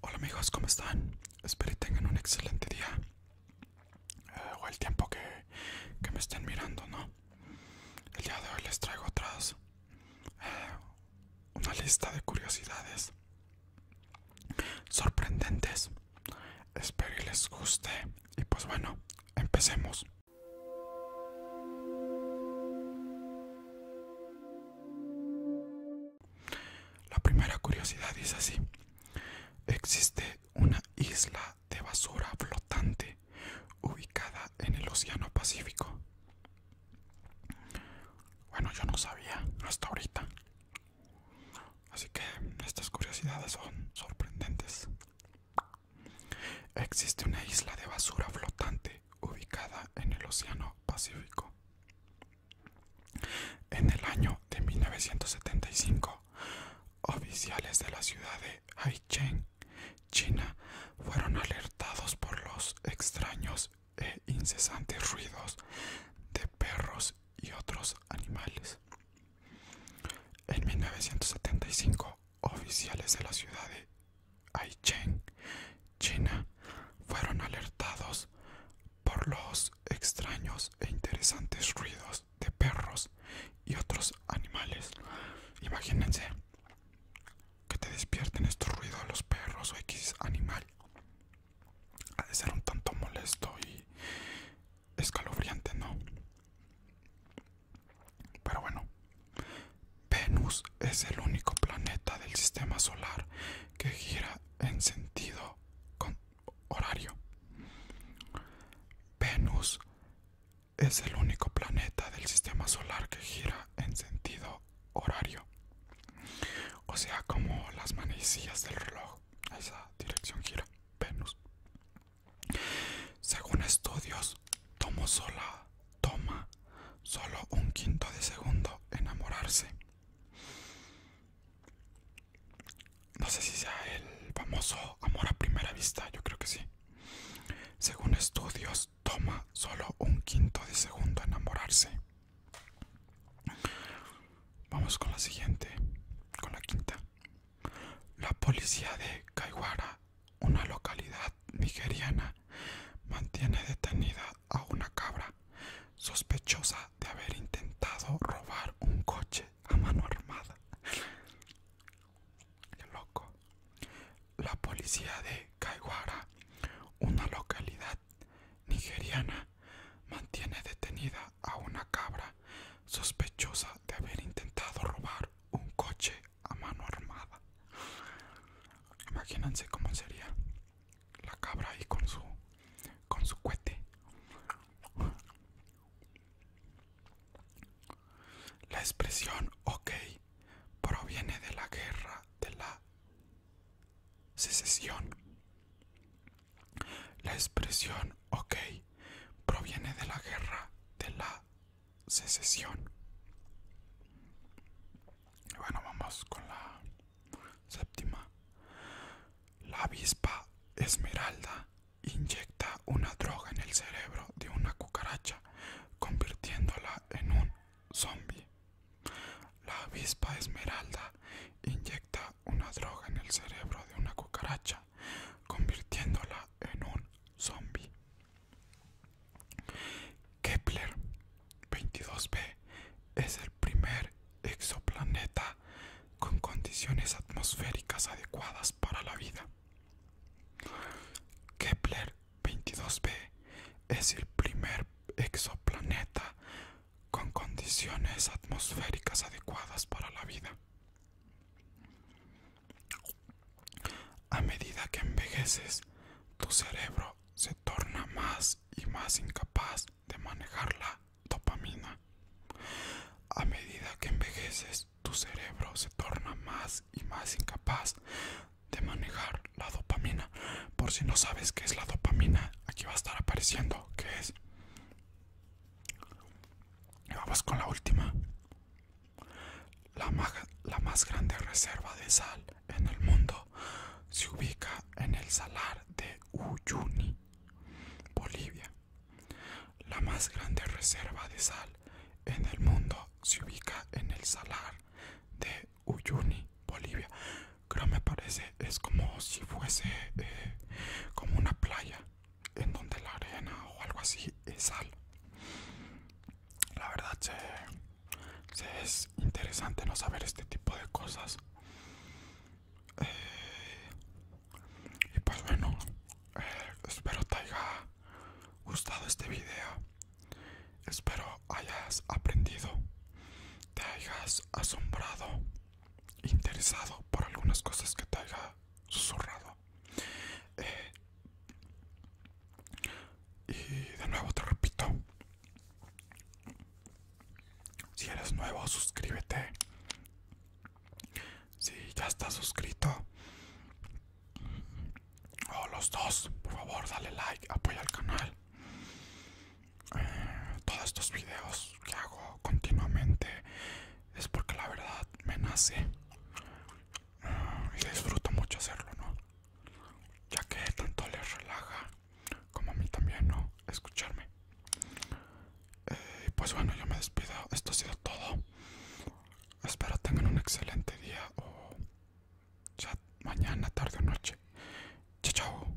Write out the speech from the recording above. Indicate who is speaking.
Speaker 1: Hola amigos, ¿cómo están? Espero que tengan un excelente día. Eh, o el tiempo que, me estén mirando, ¿no? El día de hoy les traigo atrás eh, una lista de curiosidades sorprendentes. Espero que les guste. Y pues bueno, empecemos. La primera curiosidad es así. Existe una isla de basura flotante ubicada en el Océano Pacífico. Bueno, yo no sabía hasta ahorita. Así que estas curiosidades son sorprendentes. Existe una isla de basura flotante ubicada en el Océano Pacífico. En el año de 1975, oficiales de la ciudad de Haicheng, China, fueron alertados por los extraños e incesantes ruidos de perros y otros animales. En 1975, oficiales de la ciudad de Chen, China, fueron alertados por los extraños e interesantes ruidos de perros y otros animales. Imagínense que te despierten estos ruidos los perros o X animal. Ha de ser un tanto molesto y escalofriante, ¿no? Pero bueno, Venus es el único planeta del sistema solar que gira en sentido horario. Venus es el único planeta del sistema solar que gira en sentido horario. O sea, como las manecillas del reloj, esa dirección gira Venus. Según estudios, tomo sola, toma solo un quinto de segundo enamorarse. No sé si sea el famoso amor a primera vista, yo creo que sí. Según estudios, toma solo un quinto de segundo enamorarse. Vamos con la siguiente, con la quinta. La policía de Kaiwara, una localidad nigeriana, mantiene detenida a una cabra sospechosa de haber intentado robar un coche a mano armada. loco. La policía de Kaiwara, una localidad nigeriana, mantiene detenida a una cabra sospechosa de haber intentado robar un coche a mano armada. Imagínense cómo sería la cabra ahí con su con su cohete. La expresión ok proviene de la guerra de la secesión la expresión OK proviene de la guerra de la secesión. Bueno, vamos con la séptima. La avispa esmeralda inyecta una droga en el cerebro de una cucaracha, convirtiéndola en un zombie. La avispa esmeralda inyecta una droga en el cerebro de una cucaracha, convirtiéndola en un zombie. Kepler 22b es el primer exoplaneta con condiciones atmosféricas adecuadas para la vida. Kepler 22b es el primer exoplaneta con condiciones atmosféricas adecuadas para la vida. A medida que envejeces, tu cerebro se torna más y más incapaz de manejar la dopamina. A medida que envejeces, tu cerebro se torna más y más incapaz de manejar la dopamina. Por si no sabes qué es la dopamina, aquí va a estar apareciendo es? Vamos con la última. La, la más grande reserva de sal en el mundo se ubica en el salar de Uyuni, Bolivia. La más grande reserva de sal en el mundo se ubica en el salar de Uyuni, Bolivia. Creo me parece, es como si fuese eh, como una playa en donde la arena o algo así es sal. La verdad es interesante no saber este tipo de cosas. Eh, y pues bueno, eh, espero te haya gustado este video. Espero hayas aprendido, te hayas asombrado, interesado por algunas cosas que te haya susurrado. Eh, y de nuevo te repito, si eres nuevo, suscríbete. Si ya estás suscrito, o oh, los dos por favor dale like apoya al canal eh, todos estos videos que hago continuamente es porque la verdad me nace eh, y disfruto mucho hacerlo no ya que tanto les relaja como a mí también no escucharme eh, Y pues bueno yo me despido esto ha sido todo espero tengan un excelente día mañana, tarde o noche. Chao, chao.